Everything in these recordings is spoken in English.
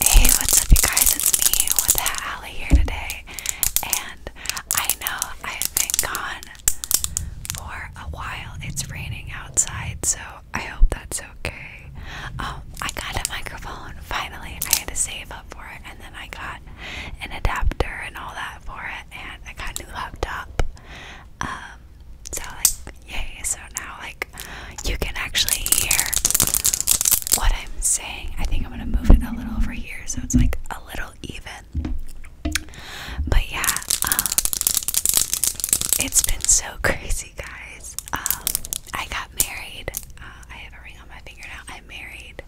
Hey, what's up, you guys? It's me with Allie here today, and I know I've been gone for a while. It's raining outside, so I hope that's okay. Um, I got a microphone finally. I had to save up for it, and then I got an adapter and all that for it, and I got a new laptop. Um, so like, yay! So now like you can actually hear what I'm saying. I think I'm gonna move it a little over here so it's like a little even. But yeah, um, it's been so crazy, guys. Um, I got married. Uh, I have a ring on my finger now. I'm married,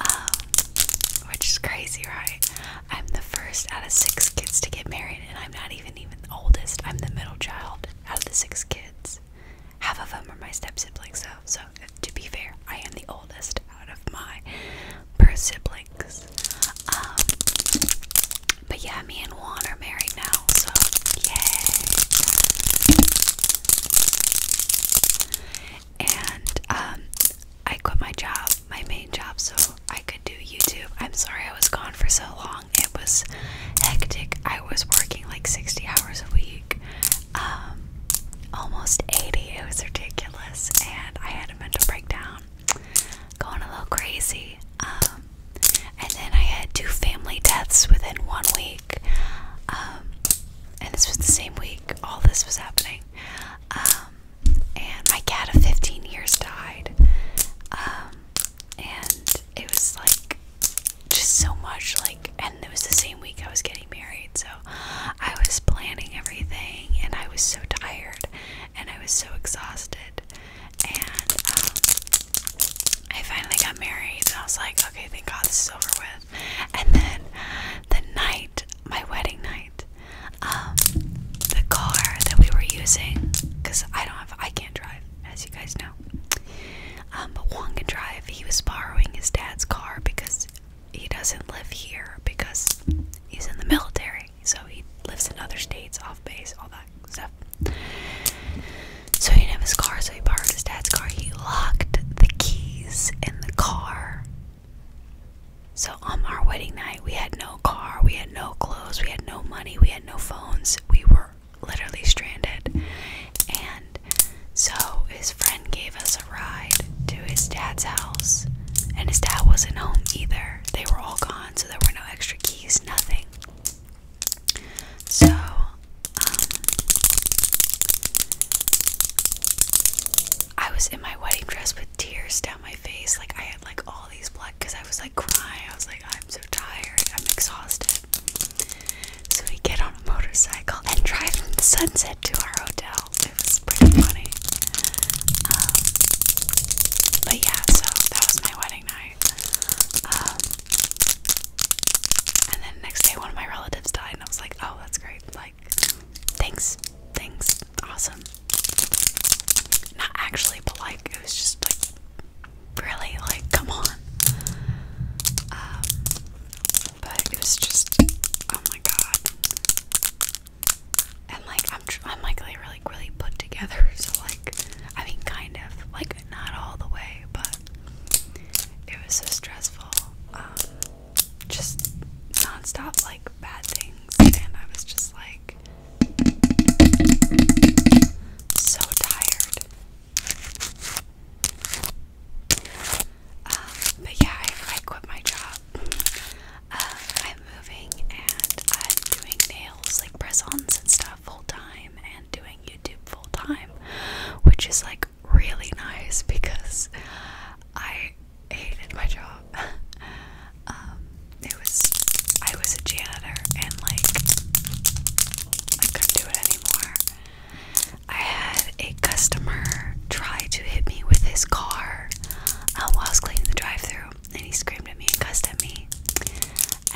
um, which is crazy, right? I'm the first out of six kids to get married, and I'm not even even the oldest. I'm the middle child out of the six kids. Half of them are my step siblings, So, uh, to be fair, I am the oldest out of my per siblings. Um, but yeah, me and Juan are married now, so yay! And um, I quit my job, my main job, so I could do YouTube. I'm sorry I was gone for so long. It was hectic. I was working like 60 hours a week, um, almost 80. It was ridiculous, and I had a mental breakdown, going a little crazy. Um, and then I had two family deaths within one week. Um, and this was the same week all this was happening. and my cat of 15 years died and it was like just so much like and it was the same week I was getting married so I was planning everything and I was so tired and I was so exhausted and um, I finally got married so I was like okay thank god this is over with and then the night my wedding night um the car that we were using because I don't have I can't drive as you guys know um, but Wong can drive. He was borrowing his dad's car because he doesn't live here because he's in the military. So he lives in other states, off base, all that stuff. So he didn't have his car, so he borrowed his dad's car. He locked the keys in the car. So on our wedding night, we had no car, we had no clothes, we had no money, we had no phones. We were literally stranded. And so his friend gave us a ride to his dad's house, and his dad wasn't home either. They were all gone, so there were no extra keys, nothing. So, um, I was in my wedding dress with tears down my face. Like, I had like all these blood because I was like crying. I was like, I'm so tired, I'm exhausted. So we get on a motorcycle and drive from the sunset to our hotel. It was pretty funny. Um, but yeah, so that was my wedding night. Um, and then next day, one of my relatives died, and I was like, oh, that's great. Like, thanks, thanks, awesome. Not actually, but like, it was just like really, like, come on. Um, but it was just, oh my god. And like, I'm, tr I'm like, really, really put together. So like, I mean, kind of, like, not all the way, but it was so stressful. Um, just nonstop, like, bad things, and I was just like. So tired. Um, but yeah, I, quit my job. Um, I'm moving and I'm doing nails, like press ons and stuff, full time, and doing YouTube full time, which is like really nice because I hated my job. Um, it was I was a janitor and like I couldn't do it anymore. I had a customer try to hit me with his car um, while I was cleaning the drive-through, and he screamed at me and cussed at me.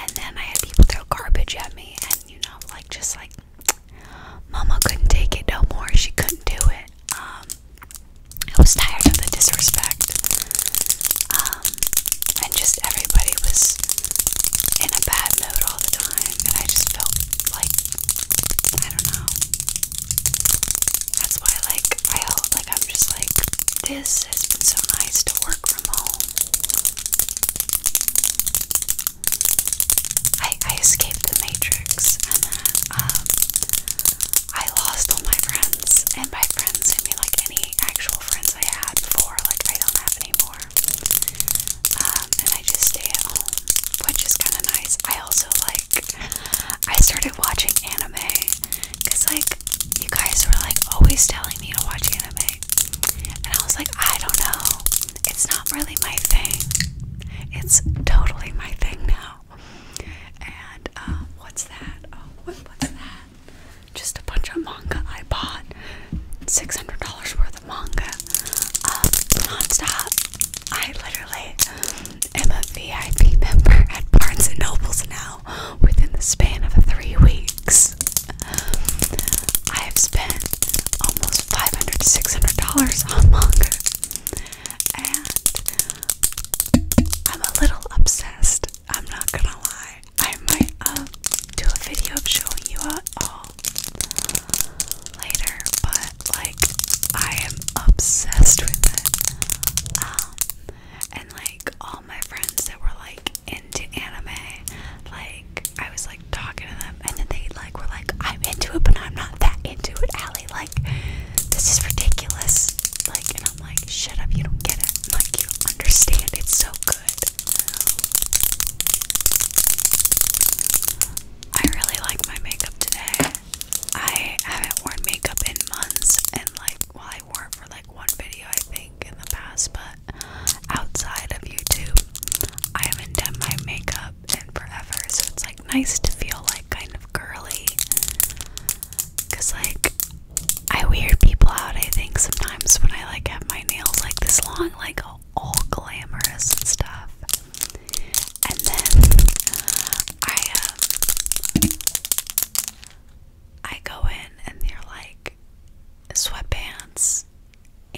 And then I had people throw garbage at me, and you know, like just like Mama couldn't take it no more. She couldn't do it. Um, I was tired of the disrespect. Um, um, and just everybody was in a bad mood all the time, and I just felt like I don't know. That's why, like, I like I'm just like this has been so nice to work from home. I I escaped the matrix, and then um, I lost all my friends, and by friends I mean like any actual friends I had before, like I don't have anymore. Um, and I just stay at home, which is kind of nice. I also like, I started watching anime because, like, you guys were like always telling me to watch anime, and I was like, I don't know, it's not really my thing, it's totally my thing now. And, uh, what's that? Oh, what, what's that? just a bunch of manga I bought. $600 worth of manga. Um, non-stop. I literally am a VIP member at Barnes & Noble's now within the span of three weeks. I have spent almost $500, $600 on manga. And I'm a little obsessed. I'm not gonna lie. I might uh, do a video of showing you all later, but like I am obsessed with it. Um, and like all my friends that were like into anime, like I was like talking to them, and then they like were like, "I'm into it, but I'm not that into it, Allie. Like this is ridiculous." Like, and I'm like, "Shut up! You don't get it. Like you don't understand. It's so good." I really like my makeup today. I haven't worn makeup in months, and like, well, I wore it for like one video, I think, in the past, but outside of YouTube, I haven't done my makeup in forever, so it's like nice to feel like kind of girly. Cause like I weird people out I think sometimes when I like have my nails like this long, like all glamorous and stuff. And then uh, I um I go in and they're like sweatpants,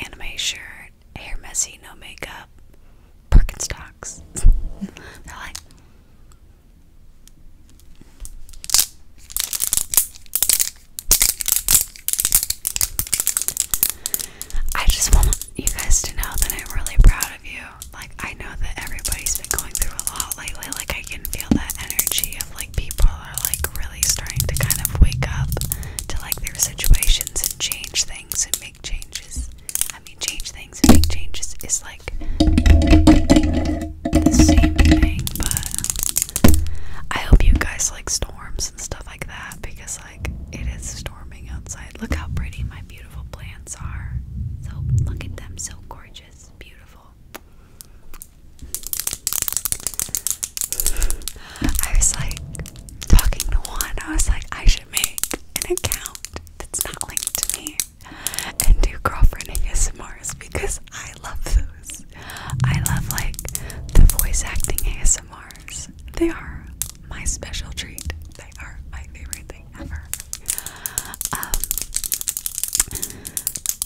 anime shirt, hair messy, no makeup, Birkenstocks. they're like I just want you guys to know that I'm really proud of you. Like, I know that everybody's been going through a lot lately. Like, I can feel that energy of like people are like really starting to kind of wake up to like their situations and change things and make changes. I mean, change things and make changes is like the same thing, but I hope you guys like storms and stuff like that because, like, it is storming outside. Look how pretty my beautiful plants are. So, look at them, so gorgeous, beautiful. I was like talking to one, I was like, I should make an account that's not linked to me and do girlfriending ASMRs because I I love those. I love like the voice acting ASMRs. They are my special treat. They are my favorite thing ever. Um,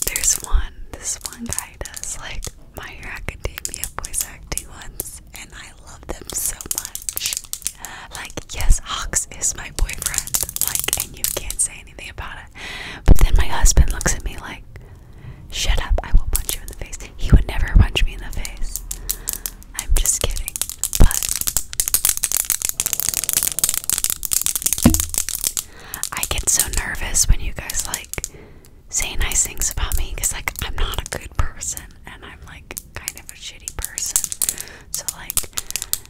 there's one. This one guy does like My Hero Academia voice acting ones, and I love them so much. Like, yes, Hawks is my boyfriend. Like, and you can't say anything about it. But then my husband looks at me like, shut up, I will punch you in the face. He would never punch me in the face. I'm just kidding. But I get so nervous when you guys like say nice things about me because like I'm not a good person and I'm like kind of a shitty person. So like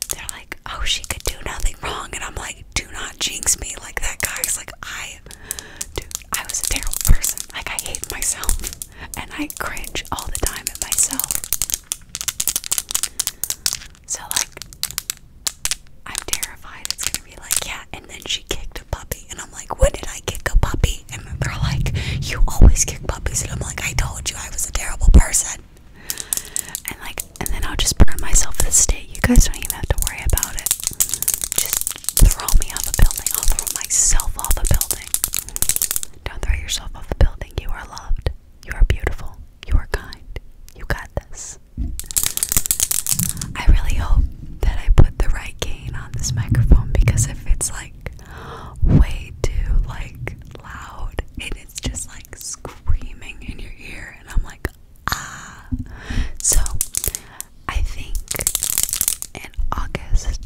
they're like, oh she could do nothing wrong and I'm like do not jinx me like that, guys. Like, I, I was a terrible person. Like, I hate myself, and I cringe all the time at myself. So, like, I'm terrified. It's gonna be like, yeah, and then she kicked a puppy, and I'm like, when did I kick a puppy? And they're like, you always kick puppies, and I'm like, I told you I was a terrible person and like and then I'll just burn myself with a stick. You guys don't even have to worry about it. Just throw me off a building. I'll throw myself off a building. Don't throw yourself off a building. You are loved. You are beautiful. You are kind. You got this. I really hope that I put the right gain on this microphone because if it's like way too like loud and it's just like screaming in your ear and I'm like Ah, so I think in August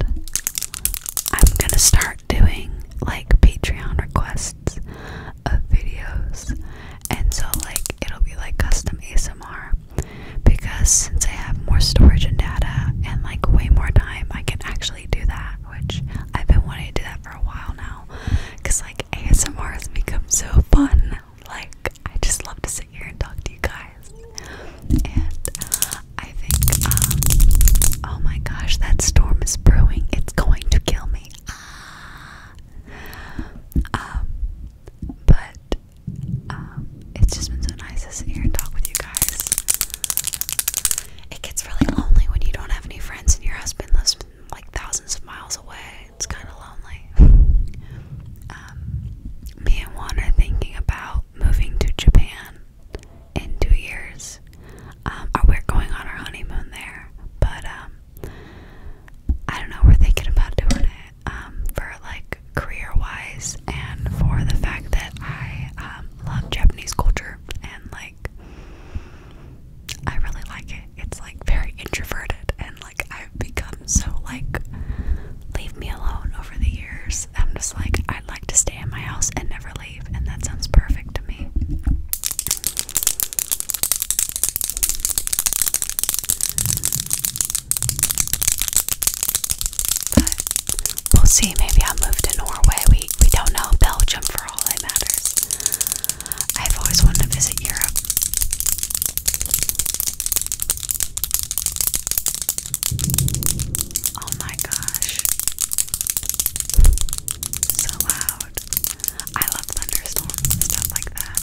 I'm gonna start doing like Patreon requests of videos, and so like it'll be like custom ASMR because since I have more storage and data and like way more time, I can actually do that, which I've been wanting to do that for a while now because like ASMR has become so fun. Like, I just love to sit here and talk to you guys. And I think, um, oh my gosh, that storm is brewing. It's going to kill me. Ah. Um, but um, it's just been so nice to sit here and talk with you guys. It gets really lonely when you don't have any friends and your husband lives like thousands of miles away. It's kind of lonely. Um, me and Juan are thinking about moving to Japan in two years. Are um, we going on our honeymoon there, but um, I don't know. We're thinking about doing it for like career-wise and for the fact that I love Japanese culture and like I really like it. It's like very introverted and like I've become so like leave me alone over the years. I'm just like I'd like to stay in my house and never leave and that sounds perfect to me. we'll see, maybe I'll move to Norway. We we don't know Belgium for all that matters. I've always wanted to visit Europe. Oh my gosh. So loud. I love thunderstorms and stuff like that.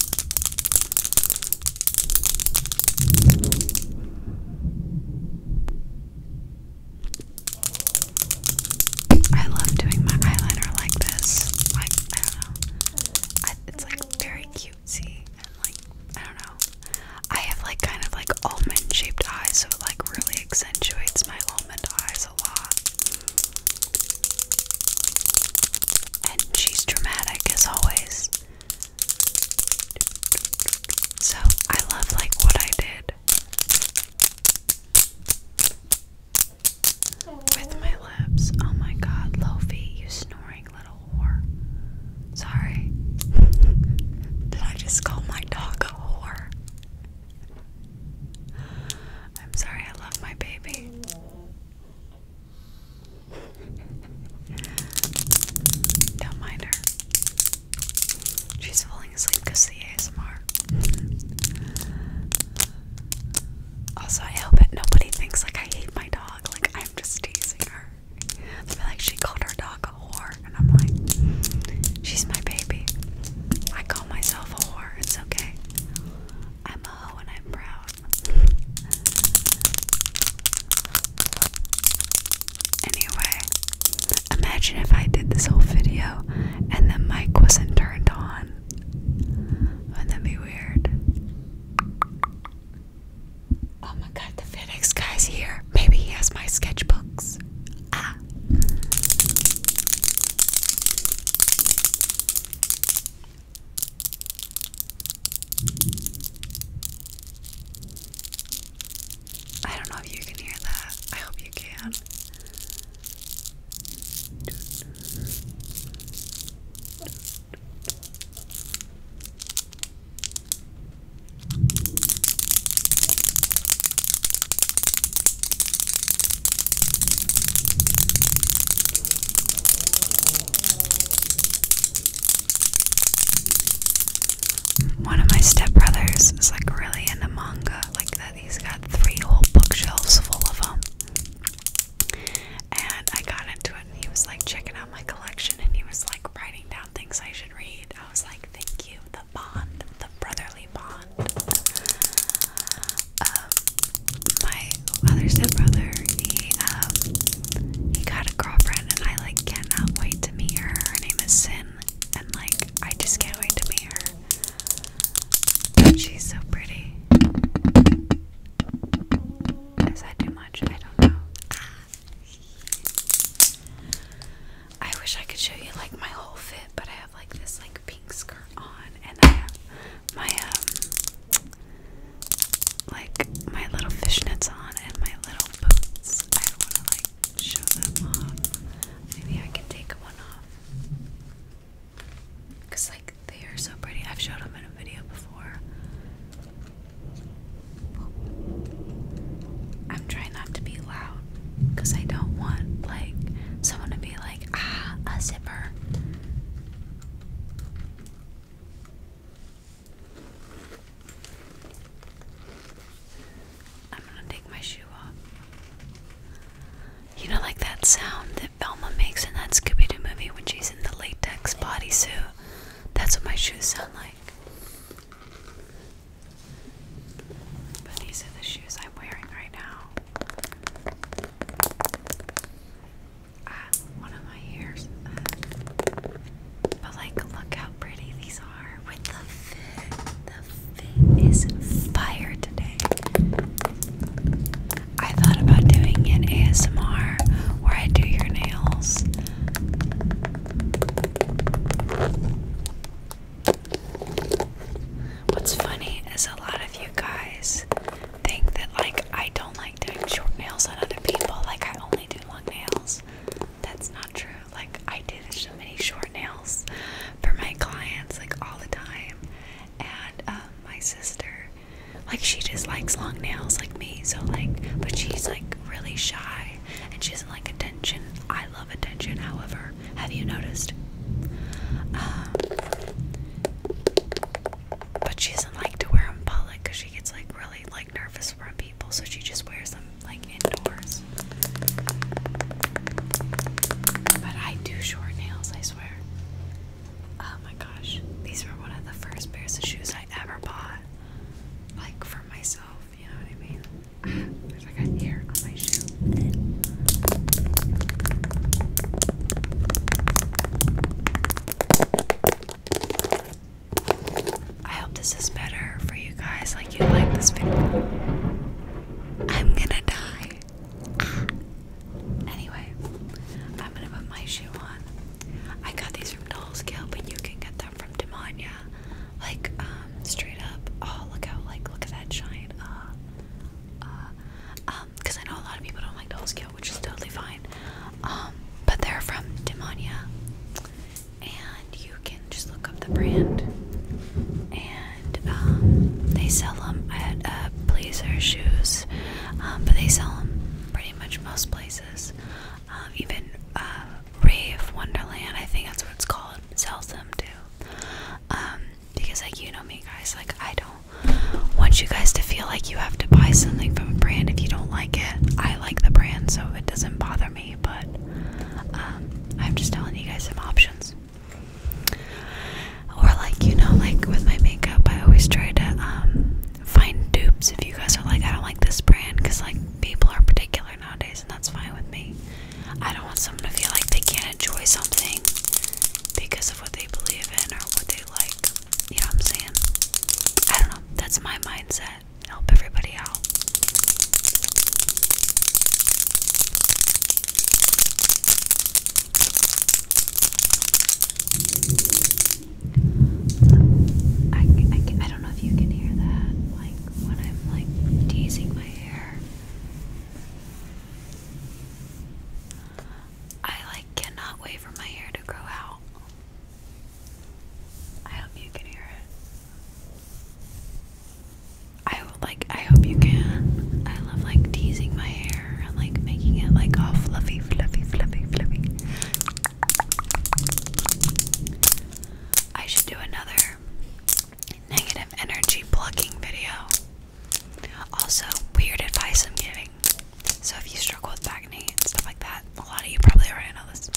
I love doing my eyeliner like this. Like, I don't know. it's like very cutesy and like, I don't know. I have like kind of like almond shaped eyes, so it like really accentuates my almond eyes a lot. And she's dramatic as always. So I love like what I did. With my lips. Oh my god, Lofi, you snoring little whore. Sorry. Did I just call my dog a whore? I'm sorry, I love my baby. Don't mind her. She's falling asleep because of the ASMR. Also, I hope that nobody thinks like I hate my dog. Like I'm just teasing her. like she called her dog a whore, and I'm like, she's my baby. I call myself a whore. It's okay. I'm a hoe and I'm proud. Anyway, imagine if I did this whole video and the mic wasn't turned on would that be weird? Oh my god, the FedEx guy's here. Maybe he has my sketchbooks. Ah. I don't know if you can hear that. I hope you can. One of my stepbrothers is like really into manga, like that. He's got three whole bookshelves full of them. And I got into it, and he was like checking out my collection, and he was like writing down things I should read. I was like, "Thank you, the bond, the brotherly bond." Um, my other stepbrother, he um, he got a girlfriend, and I like cannot wait to meet her. Her name is Sin, and like I just can't wait to meet her she's so pretty. Is that too much? I don't know. Ah. I wish I could show you like my whole fit, but I have like this like pink skirt on, and I have my um like my little fishnets on and my little boots. I want to like show them off. Maybe I can take one off. Cause like they are so pretty. I've showed them in a video before. I'm trying not to be loud because I don't want like someone to be like, ah, a zipper. I'm gonna take my shoe off. You know, like that sound that Velma makes in that Scooby Doo movie when she's in the latex bodysuit? That's what my shoes sound like. But these are the shoes I'm wearing right now. Ah, one of my ears. Uh, but, like, look how pretty these are with the fit, is fire today. I thought about doing an ASMR where I do your nails. What's funny is a lot of you guys think that like I don't like doing short nails on other people, like I only do long nails. That's not true. Like I do so many short nails for my clients like all the time. And um, my sister, like she just likes long nails like me. So like, but she's like really shy and she doesn't like attention. I love attention. However, have you noticed? Um, but she doesn't like to wear them public because she gets like really like nervous from people. So she just wears them like indoors. But I do short nails, I swear. Oh my gosh. These were one of the first pairs of shoes I ever bought. Like for myself, you know what I mean? There's like a on my shoe. I hope this is better for you guys. Like you like this video. I'm gonna die. Anyway, I'm gonna put my shoe on. I got these from Dolls Kill, but you can get them from Demania. Like, um, straight up. Oh, look how, like, look at that giant. Uh, uh, um, because I know a lot of people don't like Dolls Kill, which is totally fine. Um, but they're from Demania. And you can just look up the brand. And um, they sell them at uh, Blazer Shoes, um, but they sell them pretty much most places. Um, even uh, Rave Wonderland, I think that's what it's called, sells them too. because like you know me guys, like I don't want you guys to feel like you have to buy something from a brand if you don't like it. I like the brand, so it doesn't bother me. But I'm just telling you guys some options. Or like you know, like with my makeup, I always try to um, find dupes. If you guys are like, I don't like this brand, because like people are particular nowadays, and that's fine with me. I don't want someone to feel like they can't enjoy something because of what they believe in or what they like. You know what I'm saying? I don't know. That's my mindset. Help everybody out. I, I, I don't know if you can hear that, like when I'm like teasing my hair. I like cannot wait for my hair to grow out. I hope you can hear it. I like I hope you can. I love like teasing my hair and like making it like all fluffy, fluffy, fluffy, fluffy. I should do another negative energy plucking video. Also, weird advice I'm giving. So if you struggle with acne and stuff like that, a lot of you probably already know this.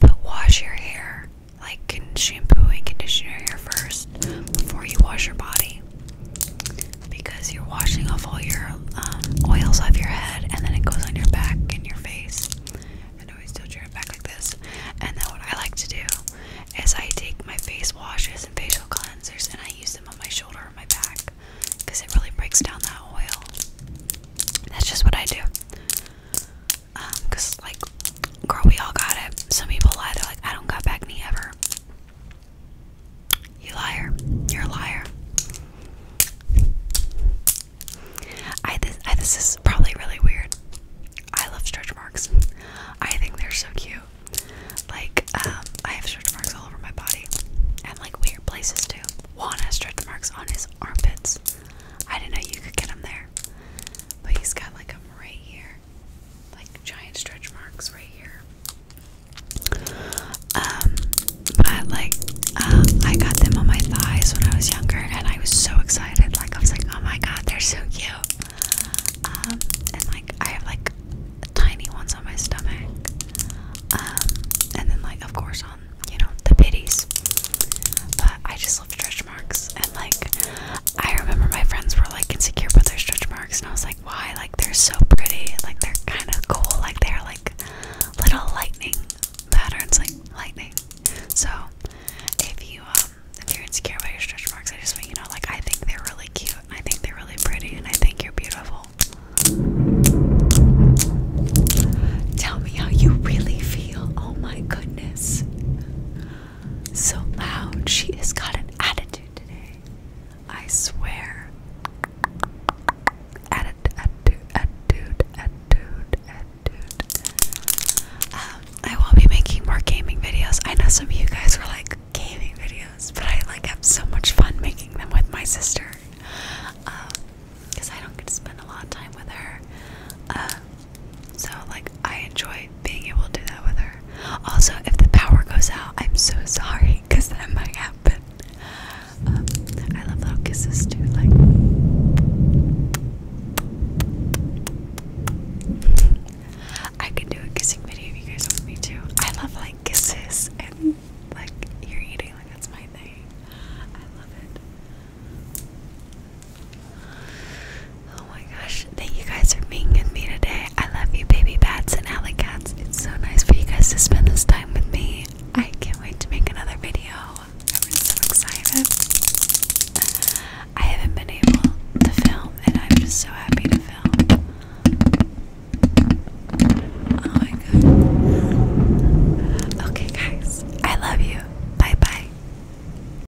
But wash your hair like shampoo and conditioner hair first before you wash your body because you're washing off all your um, oils off your head and then it goes on your back and your face and always tilt your back like this and then what I like to do is I take my face washes and facial cleansers and I use them on my shoulder or my back because it really breaks down that oil that's just what I do because um, like girl we all got it some people lie they're like i don't got back knee ever you liar you're a liar i this this is probably really weird i love stretch marks i think they're so cute like um i have stretch marks all over my body and like weird places too juan stretch marks on his armpits i didn't know you could get them there but he's got like them right here like giant stretch marks right here. Um, but like, uh, I got them on my thighs when I was younger, and I was so excited. Like, I was like, oh my god, they're so cute. Um, and like, I have like tiny ones on my stomach. Um, and then like, of course, on you know the pitties. But I just stretch marks. And like, I remember my friends were like insecure about their stretch marks, and I was like, why? Like, they're so pretty. Like, they're kind of cool. Like, they're like little lightning patterns, like lightning. So, if you um, if you're insecure about your stretch marks, I just want you know, like, I think they're really cute. I think they're really pretty, and I think you're beautiful. Tell me how you really feel. Oh my goodness so loud. She has got an attitude today. I swear. Attitude, attitude, attitude, attitude. Um, I will be making more gaming videos. I know some of you guys were like gaming videos, but I like have so much fun making them with my sister because um, I don't get to spend a lot of time with her. Uh, so, like, I enjoy being able to do that with her. Also, if the power goes out, I'm so sorry because that might happen. Um, I love little kisses too, like. I could do a kissing video if you guys want me to. I love like kisses and like you're eating, like that's my thing. I love it. Oh my gosh, thank you guys for being with me today. I love you, baby bats and alley cats. It's so nice for you guys to spend this time with me. I can't wait to make another video. I'm so excited. I haven't been able to film, and I'm just so happy to film. Oh my god. Okay, guys, I love you. Bye bye.